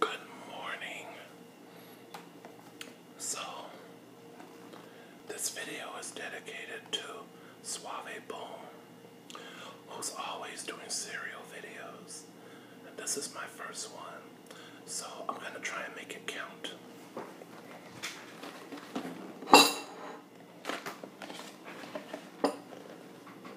Good morning. So, this video is dedicated to Suave Boom, who's always doing cereal videos. And this is my first one. So, I'm going to try and make it count.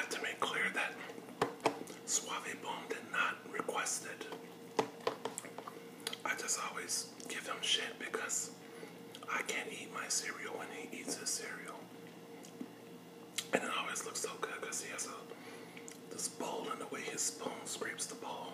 I'd to make clear that Suave Bomb did not request it. I just always give him shit because I can't eat my cereal when he eats his cereal. And it always looks so good because he has a this bowl and the way his spoon scrapes the bowl.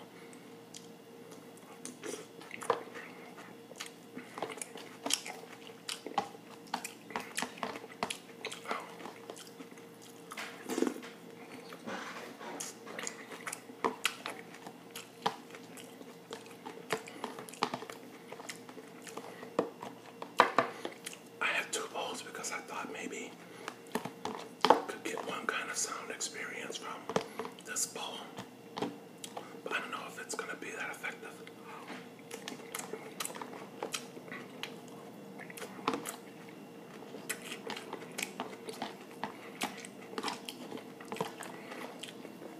I have two bowls because I thought maybe could get one kind of sound experience from this bowl. But I don't know if it's going to be that effective.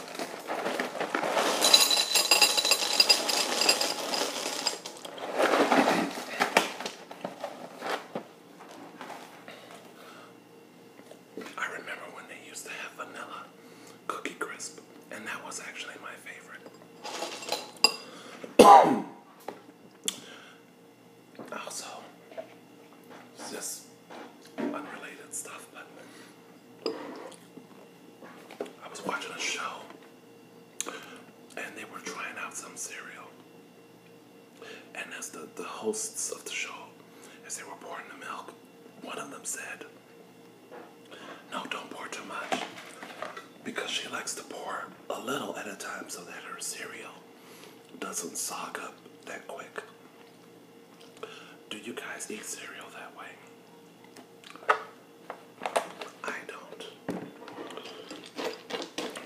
I remember when they used to have vanilla cookie crisp, and that was actually my favorite. also, just unrelated stuff, but I was watching a show and they were trying out some cereal. And as the, the hosts of the show, as they were pouring the milk, one of them said, No, don't pour too much. Because she likes to pour a little at a time so that her cereal doesn't soak up that quick. Do you guys eat cereal that way? I don't.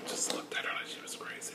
just looked at her like she was crazy.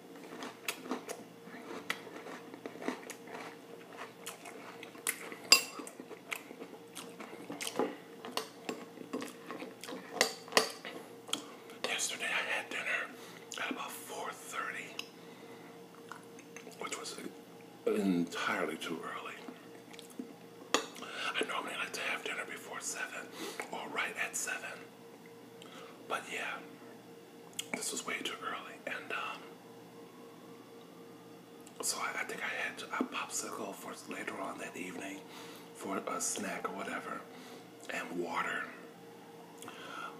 Yesterday I had dinner at about 4.30, which was entirely too early. I normally like to have dinner before 7 or right at 7. But yeah, this was way too early, and um, so I think I had a popsicle for later on that evening for a snack or whatever, and water.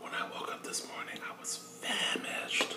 When I woke up this morning, I was famished.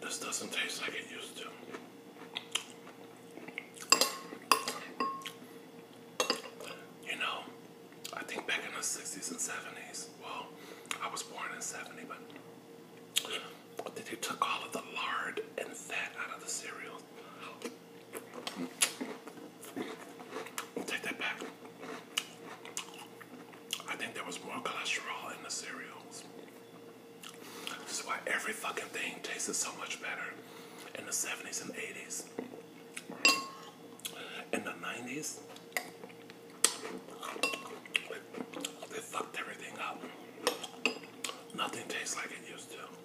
This doesn't taste like it used to. You know, I think back in the 60s and 70s, well, I was born in 70, but they took all of the lard and fat out of the cereal i take that back. I think there was more cholesterol in the cereals. This is why every fucking thing tasted so much better in the 70s and 80s. In the 90s, they fucked everything up. Nothing tastes like it used to.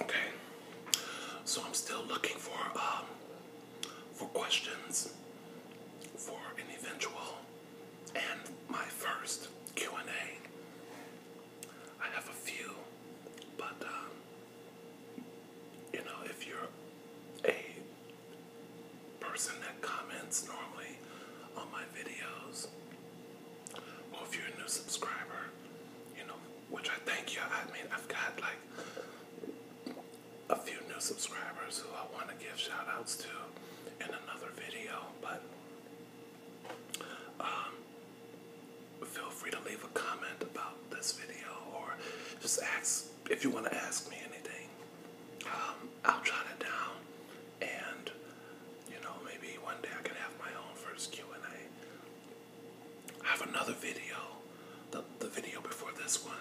Okay, so I'm still looking for um, for questions for an eventual and my first Q&A. I have a few, but um, you know, if you're a person that comments normally on my videos, or if you're a new subscriber, you know, which I thank you. I mean, I've got like a few new subscribers who I want to give shout outs to in another video, but um, feel free to leave a comment about this video or just ask if you want to ask me anything. Um, I'll jot it down and you know maybe one day I can have my own first Q&A. have another video the, the video before this one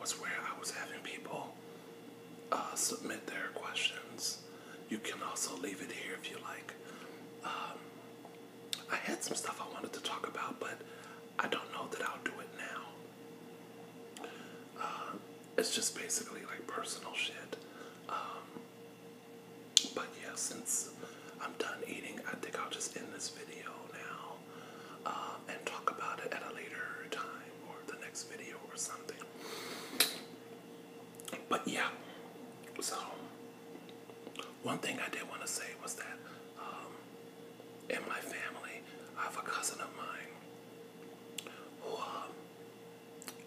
was where I was having people uh, submit their questions. You can also leave it here if you like. Um, I had some stuff I wanted to talk about, but I don't know that I'll do it now. Uh, it's just basically like personal shit. Um, but yeah, since I'm done eating, I think I'll just end this video now um, and talk about it at a later time or the next video or something. But yeah, so one thing I did want to say was that um, in my family, I have a cousin of mine who, um,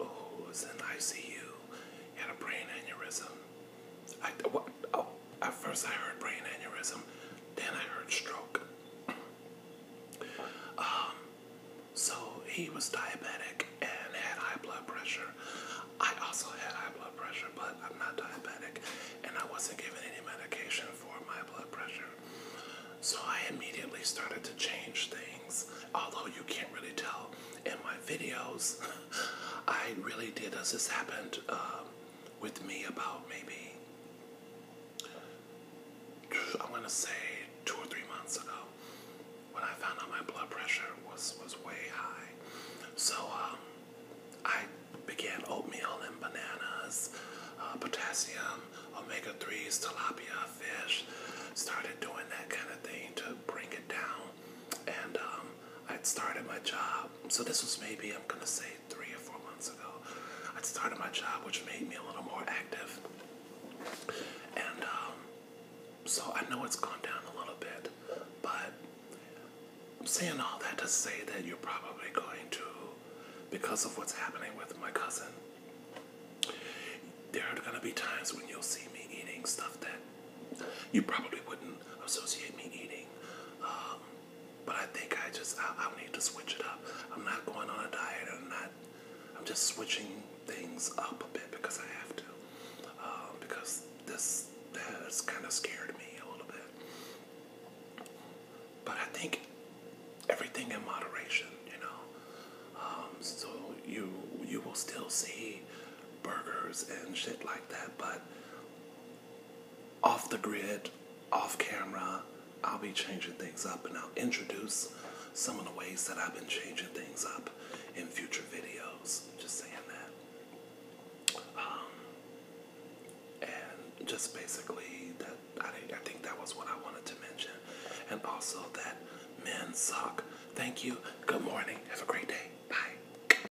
who was in ICU, had a brain aneurysm. I, what, oh, at first, I heard brain aneurysm, then I heard stroke. Um, so he was diabetic and had high blood pressure. I also had high blood pressure, but I'm not diabetic, and I wasn't given any medication for my blood pressure. So I immediately started to change things, although you can't really tell in my videos. I really did. as This happened uh, with me about maybe I am going to say two or three months ago when I found out my blood pressure was was way high. So um, I began oatmeal and bananas, uh, potassium, omega threes, tilapia fish. Started doing that kind of thing to bring it down, and um, I'd started my job. So this was maybe I'm gonna say three or four months ago, I started my job, which made me a little more active. And um, so I know it's gone down a little bit, but I'm saying all that to say that you're probably going to, because of what's happening with my cousin, there are going to be times when you'll see me eating stuff that you probably wouldn't associate me eating. Um, but I think I just I, I need to switch it up. I'm not going on a diet. I'm not. I'm just switching things up a bit because I have to. Uh, because this has kind of scared me a little bit. But I think everything in moderation, you know. Um, so you you will still see burgers and shit like that, but off the grid, off camera, I'll be changing things up and I'll introduce some of the ways that I've been changing things up in future videos. Just saying that. Um, and just basically that I think that was what I wanted to mention. And also that men suck. Thank you. Good morning. Have a great day. Bye.